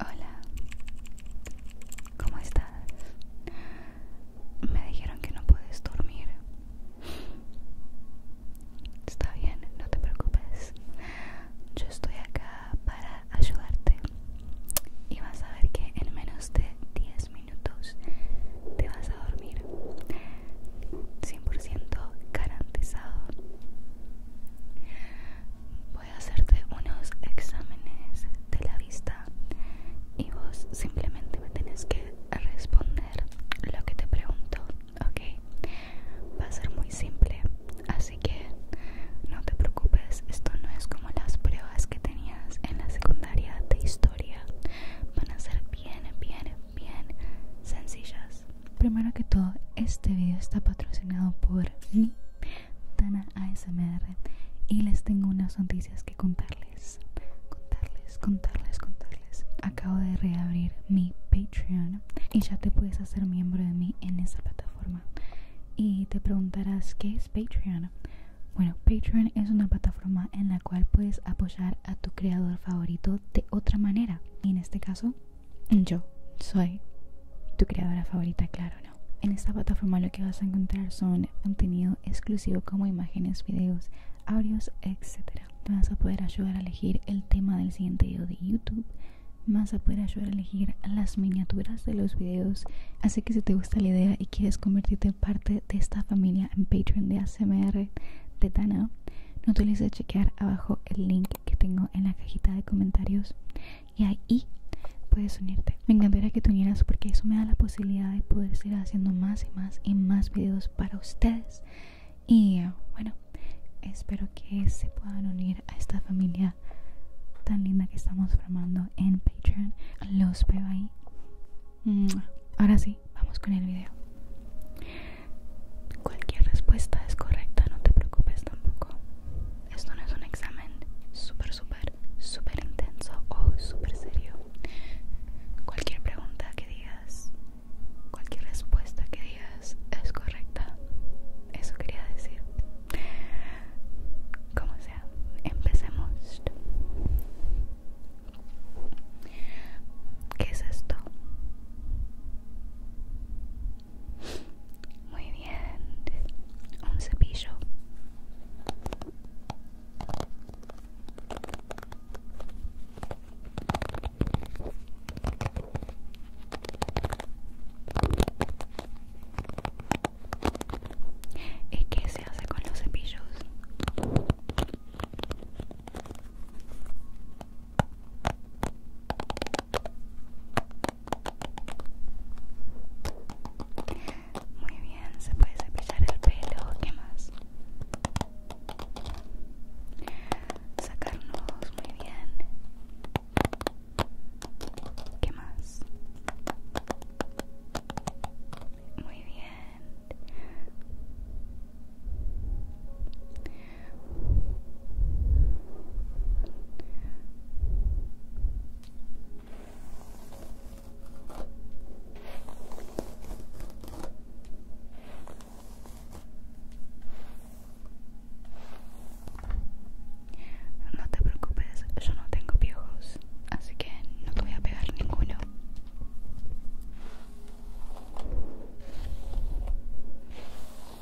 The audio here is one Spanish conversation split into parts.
Hola, ¿cómo estás? Me dijeron que no puedes dormir. Está bien, no te preocupes. Yo estoy acá para ayudarte. Y vas a ver que en menos de 10 minutos te vas a dormir. 100% garantizado. Voy a hacerte unos exámenes de la vista y vos simplemente me tenés que responder lo que te pregunto, ¿ok? Va a ser muy simple, así que no te preocupes, esto no es como las pruebas que tenías en la secundaria de historia, van a ser bien, bien, bien sencillas. Primero que todo, este video está patrocinado por Tana ASMR y les tengo unas noticias que contarles. Contarles, contarles, contarles. Acabo de reabrir mi Patreon y ya te puedes hacer miembro de mí en esa plataforma. Y te preguntarás qué es Patreon. Bueno, Patreon es una plataforma en la cual puedes apoyar a tu creador favorito de otra manera. Y en este caso, yo soy tu creadora favorita, claro, ¿no? En esta plataforma lo que vas a encontrar son contenido exclusivo como imágenes, videos, audios, etc. vas a poder ayudar a elegir el tema del siguiente video de YouTube. vas a poder ayudar a elegir las miniaturas de los videos. Así que si te gusta la idea y quieres convertirte en parte de esta familia en Patreon de ACMR de Tana, no te olvides de chequear abajo el link que tengo en la cajita de comentarios y ahí puedes unirte. Me encantaría que te unieras porque eso me da la posibilidad de poder seguir haciendo más y más y más videos para ustedes. Y bueno, espero que se puedan unir a esta familia tan linda que estamos formando en Patreon. Los veo ahí. Mm, ahora sí, vamos con el video. Cualquier respuesta es correcta, no te preocupes tampoco. Esto no es un examen super, super, super intenso o super serio. Cualquier pregunta que digas, cualquier respuesta que digas es correcta. Eso quería decir. Como sea, empecemos. ¿Qué es esto? Muy bien. Un cepillo. ¿Y qué se hace con los cepillos? Muy bien, se puede cepillar el pelo, ¿qué más? Sacarnos, muy bien. ¿Qué más? Muy bien. No te preocupes, yo no tengo viejos, así que no te voy a pegar ninguno.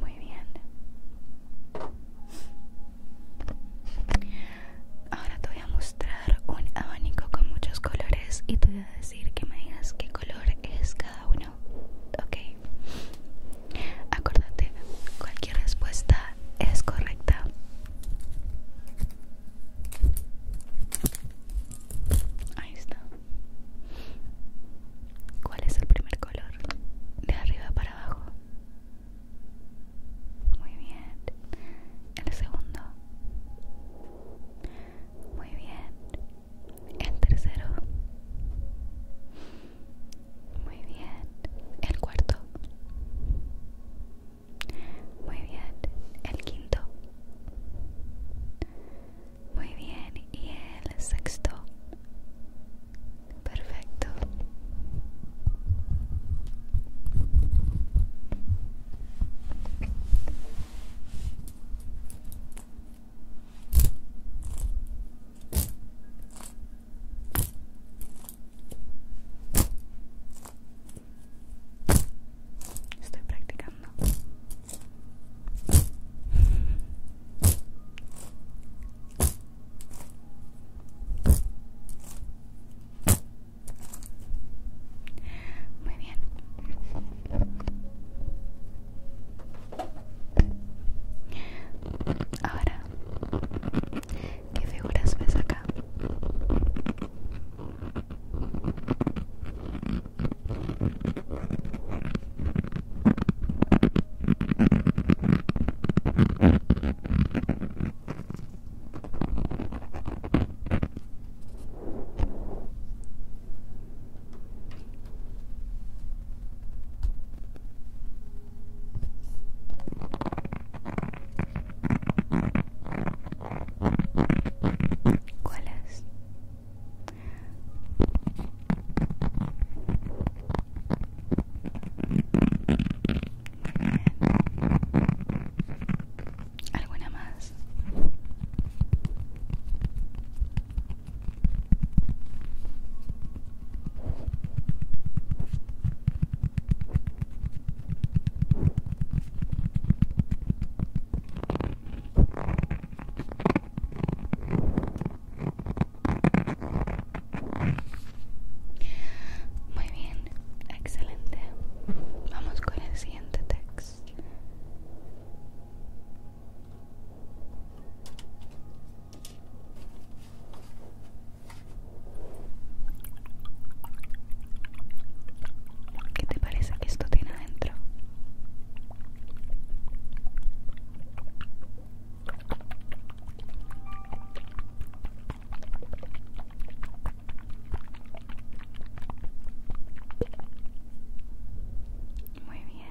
Muy bien. Ahora te voy a mostrar un abanico con muchos colores y te voy a decir que me digas qué color es cada uno. Ok. Acordate, cualquier respuesta es correcta. Ahí está. ¿Cuál es el primer color? De arriba para abajo. Muy bien. El segundo. Muy bien el tercero muy bien el cuarto muy bien el quinto muy bien y el sexto perfecto Estoy practicando. Muy bien. Ahora, ¿qué figuras ves acá? ¿Cuál es? ¿Alguna más? Muy bien, excelente. Vamos con el siguiente texto. ¿Qué te parece que esto tiene adentro? Muy bien.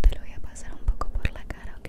Te lo voy a pasar un poco por la cara, ¿ok?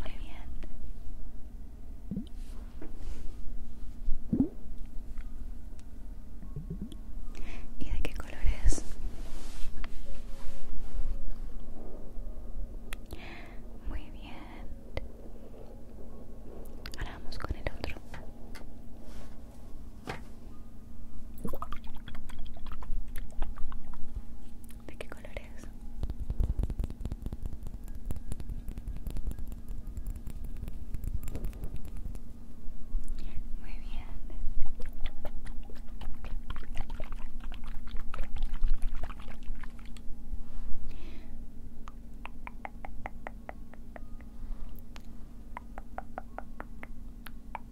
Muy bien. ¿Y de qué color es? Muy bien. Ahora vamos con el otro. ¿De qué color es? Muy bien.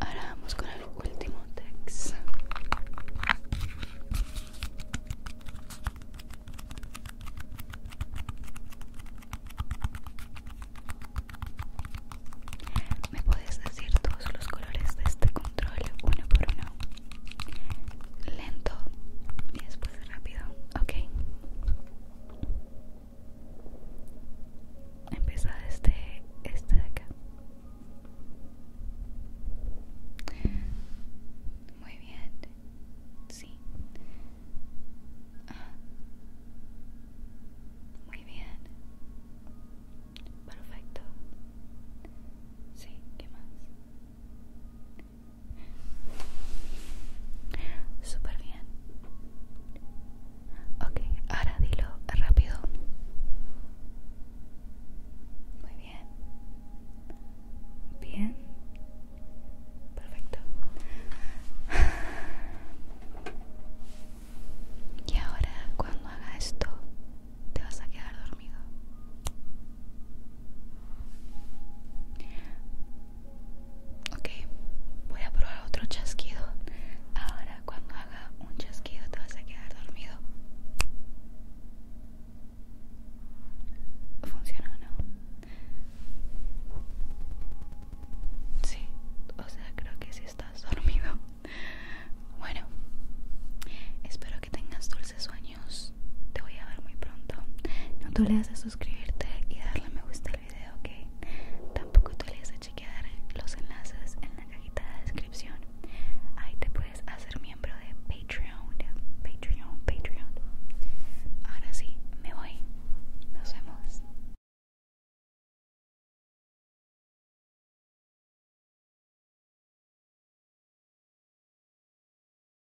Ahora vamos con el último text. ¿Me puedes decir todos los colores de este control uno por uno? Lento y después rápido, ok. Empezar este este de acá. Muy bien. Sí. Muy bien. Perfecto. Sí, ¿qué más? Super bien. Ok, ahora dilo rápido. Muy bien. Bien. Perfecto. Y ahora cuando haga esto, te vas a quedar dormido. Ok, voy a probar otro chasquido. Ahora cuando haga un chasquido te vas a quedar dormido. ¿Funciona no? Sí, o sea, creo que sí estás dormido. Bueno, espero que tengas dulces sueños. Te voy a ver muy pronto. No tú le haces suscribirte y darle me gusta al video, Que Tampoco te olvides de chequear los enlaces en la cajita de descripción. Ahí te puedes hacer miembro de Patreon, Patreon, Patreon. Ahora sí, me voy. Nos vemos.